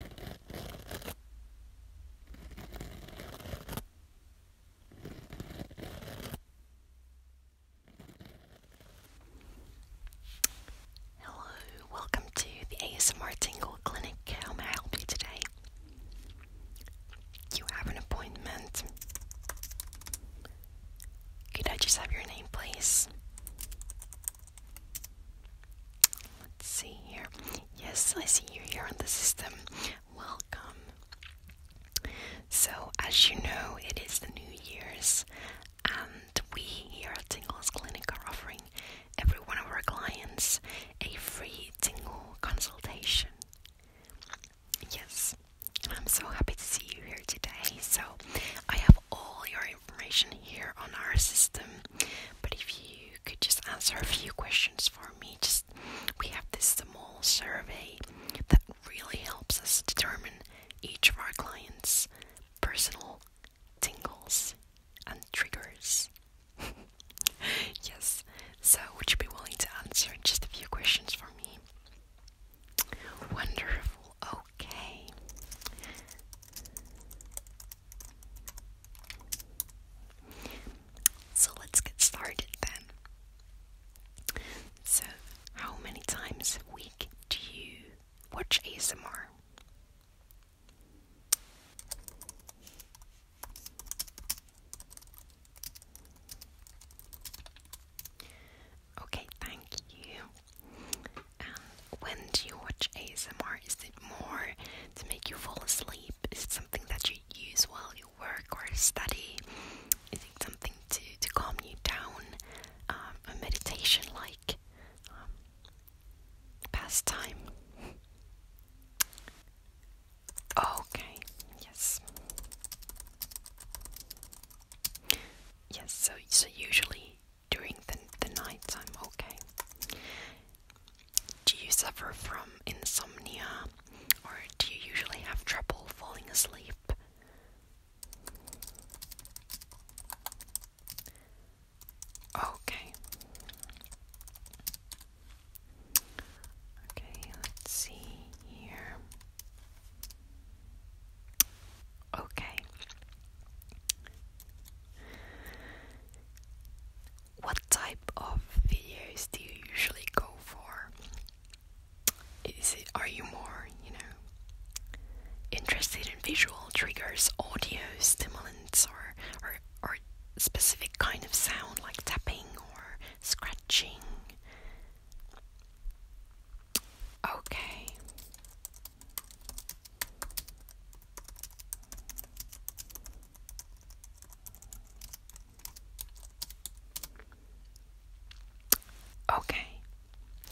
Hello, welcome to the ASMR Tingle Clinic. How may I help you today? You have an appointment. Could I just have your name, please? Let's see here. Yes, I see you here on the system. Welcome. So, as you know, it is the New Year's, and we here at Tingle's Clinic are offering every one of our clients a free Tingle consultation. Yes, I'm so happy to see you here today. So, I have all your information here on our system, but if you could just answer a few questions for me, just we have this small survey that really helps us determine each of our clients' personal tingles and triggers. yes, so would you be willing to answer just a few questions for me? Wonderful, okay. So let's get started then. So, how many times a week do you watch ASMR? Okay, thank you. Um, when do you watch ASMR? Is it more to make you fall asleep? Is it something that you use while you work or study? Is it something to, to calm you down? Um, a meditation like um, pastime? Okay, yes. Yes, so so usually during the, the night time, okay? Do you suffer from insomnia or do you usually have trouble falling asleep? Okay. Okay, let's see here. Okay. What type of videos do you usually go for? Is it are you more, you know, interested in visual triggers, audio stimulants or or specific kind of sound like tapping or scratching? Okay. Okay,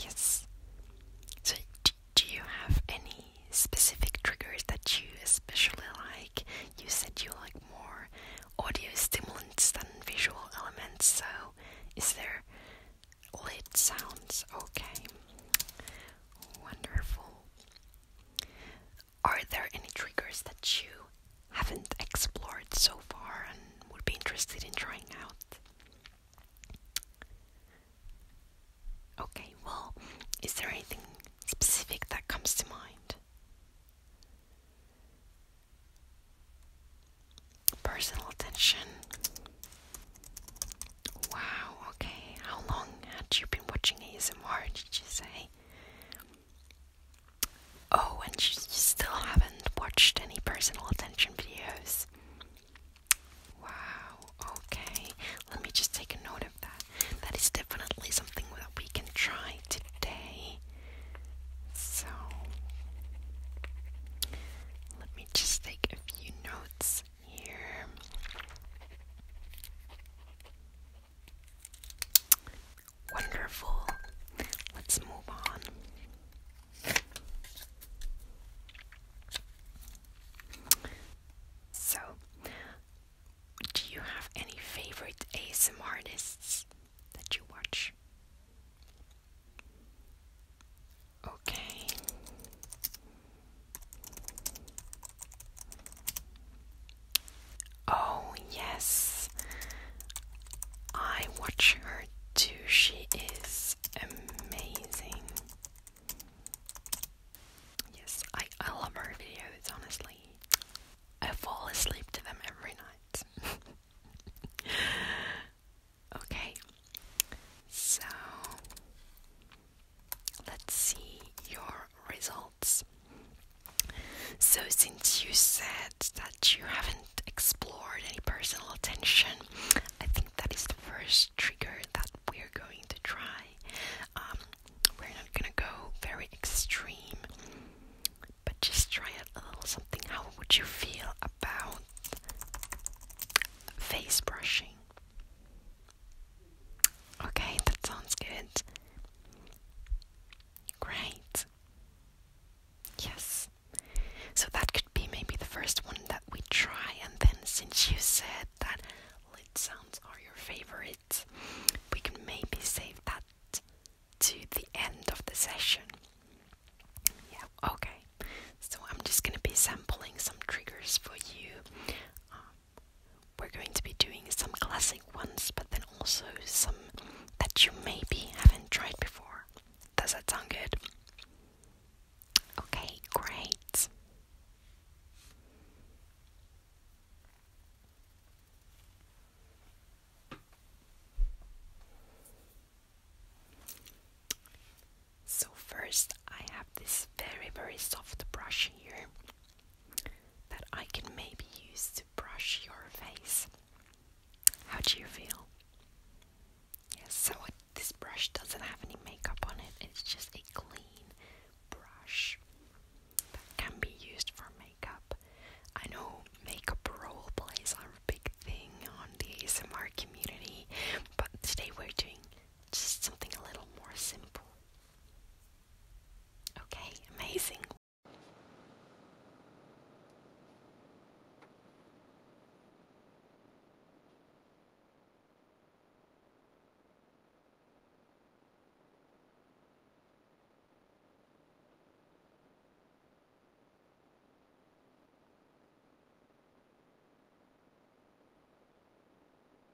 yes. So, do, you have any specific triggers that you especially like? You said you like more audio stimulants than visual elements, so is there lit sounds? Okay, wonderful. Are there any triggers that you haven't explored so far and would be interested in trying out? Okay, well, is there anything specific that comes to mind? Personal attention, Wow, okay. How long had you been watching ASMR, did you say? Oh, and you still haven't watched any personal attention videos. Wow, okay. Let me just take a note of that. That is definitely something that we can try today. So, let me just take a few notes here. Wonderful. Let's move on. So, do you have any favorite ASM artists that you watch? Okay. Oh, yes. I watch her too. She is amazing. Yes, I, I love her videos, honestly. I fall asleep to them every night. okay, so Let's see your results. So, since you said that you haven't explored any personal attention, I think that is the first trigger that we're going to try. Um, we're not gonna go very extreme, but just try a little something. How would you feel about face brushing? Okay, that sounds good. Great. Yes. So that could be maybe the first one that we try, and then since you said that lit sounds are your favorite, we can maybe save that to the end of the session. Yeah, okay. So I'm just gonna be sampling some triggers for you. Um, we're going to be doing some classic ones, but then also some that you maybe haven't tried before. Does that sound good? Okay, great. So, first, I have this very very soft brush here that I can maybe use to brush your face. How do you feel? Yes, so this brush doesn't have any makeup on it, it's just a clean brush that can be used for makeup. I know makeup role plays are a big thing on the ASMR community, but today we're doing just something a little more simple. Okay, amazing.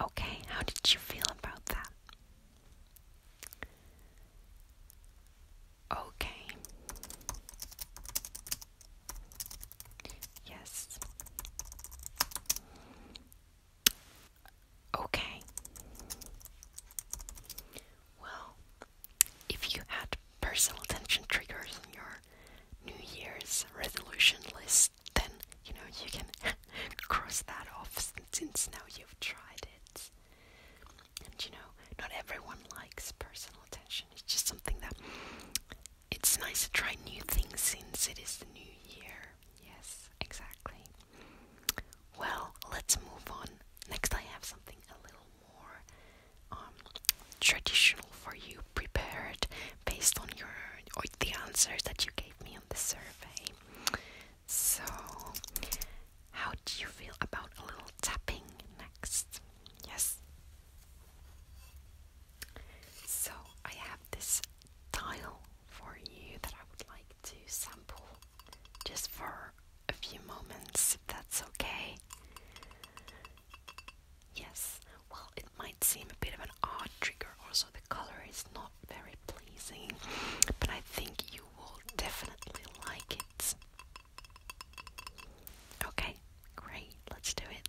Okay, how did you feel about that? Okay. Yes. Okay. Well, if you had personal attention triggers on your New Year's resolution list, then you know you can cross that off since now you've tried it. And you know, not everyone likes personal attention. It's just something that it's nice to try new things since it is the new year. Yes, exactly. Well, let's move on. Next, I have something a little more um, traditional for you, prepared based on your or the answers that you gave me on the survey. So, how do you feel about a little tapping next? Yes. So, I have this tile for you that I would like to sample just for a few moments, if that's okay. Yes, well, it might seem a bit of an odd trigger, also, the color is not very pleasing, but I think you will definitely like it. Okay, great, let's do it.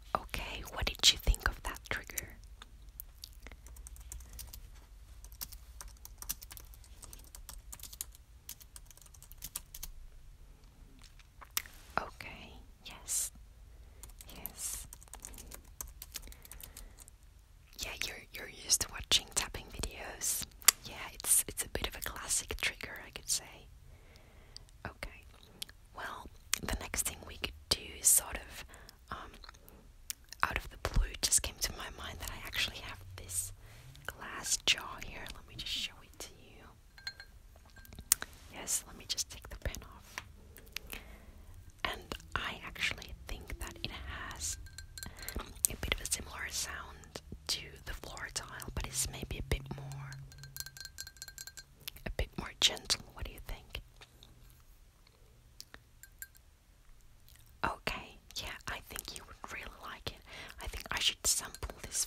Okay, what did you think of that trigger? Okay, yes. Yes. Yeah, you're you're used to watching tapping videos. Yeah, it's it's a bit of a classic trigger, I could say. Okay. Well, the next thing we could do, sort of, um, out of the blue, just came to my mind that I actually have this glass jar here. Let me just show it to you. Yes, let me just take the pen off. And I actually think that it has a bit of a similar sound to the floor tile, but it's maybe a bit more a bit more gentle. What do you think? Okay, yeah, I think you would really like it. I think I should sample this.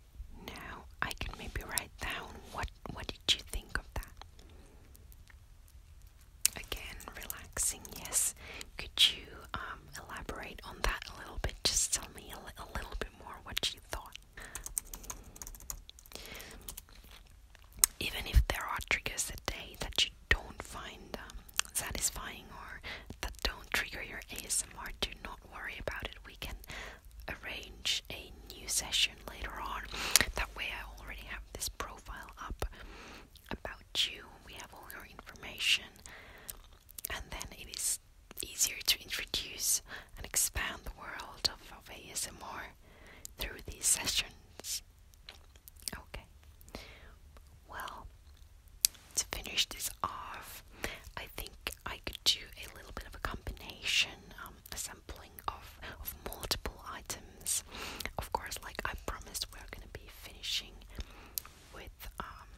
now I can maybe write down what what did you think of that? Again, relaxing. Yes. Could you um, elaborate on that a little bit? Just tell me a, little bit more what you thought. Even if there are triggers a day that you don't find um, satisfying or that don't trigger your ASMR, do not worry about it. We can arrange a new session later on. That way, I already have this profile up about you, we have all your information, and then it is easier to introduce and expand the world of, ASMR through these sessions. Okay, well, to finish this off, I think I could do a little bit of a combination, um, a sampling of, of multiple items. Of course, like I promised, we're gonna be finishing with um,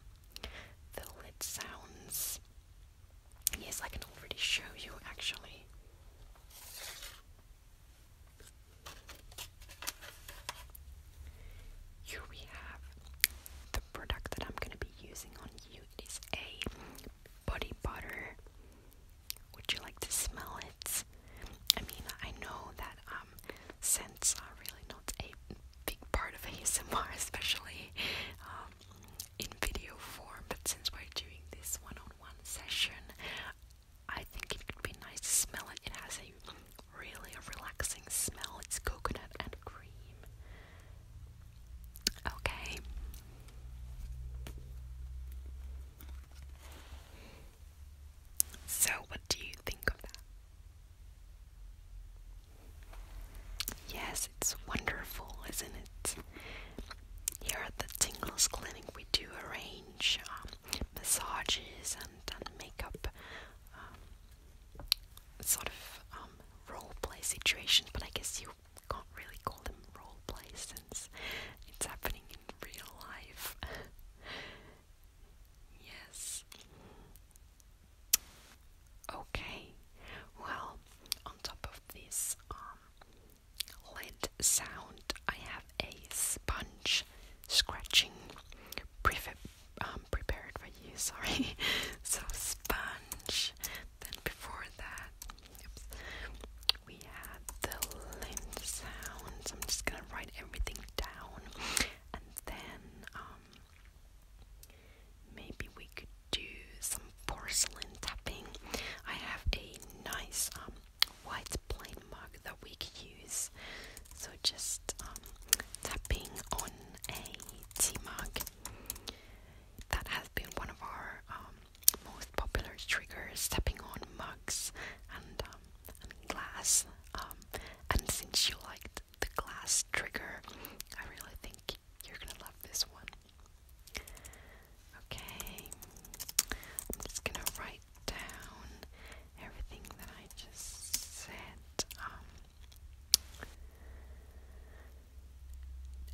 the lid sounds. Yes, I can already show you actually. Here we have the product that I'm going to be using on you it is a body butter. Would you like to smell it? I mean, I know that um, scents are really not a big part of ASMR, especially um, in video form. But since we're doing this one-on-one -on -one session, I think it could be nice to smell it. It has a really relaxing smell. It's coconut and cream. Okay. So, what do you think of that? Yes, it's wonderful, isn't it? Here at the Tingles Clinic, we do arrange um, massages and, makeup um, sort of um, role play situation, but I guess you can't really call them role plays since it's happening in real life. yes. Okay. Well, on top of this um, lid sound, I have a sponge scratching pre um, prepared for sorry. So sponge. Then before that, we had the lint sounds. I'm just gonna write everything down, and then um, maybe we could do some porcelain tapping. I have a nice um, white plain mug that we could use. So just um, tapping on a tea mug that has been one of our um, most popular triggers, stepping on mugs and, um, glass. Um, and since you liked the glass trigger, I really think you're gonna love this one. Okay, I'm just gonna write down everything that I just said.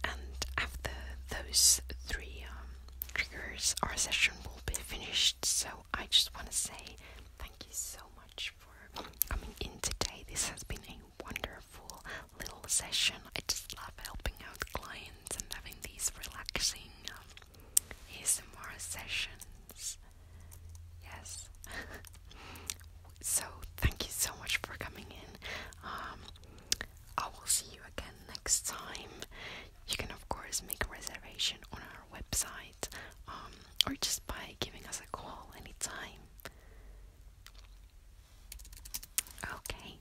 And after those three um, triggers, our session will be finished. So I just want to say thank you so much for coming in today. This has been a wonderful little session. I just love helping out clients and having these relaxing um, sessions. Yes. So, thank you so much for coming in. Um, I will see you again next time. You can, of course, make a reservation on our website um, or just by giving us a call anytime. Okay.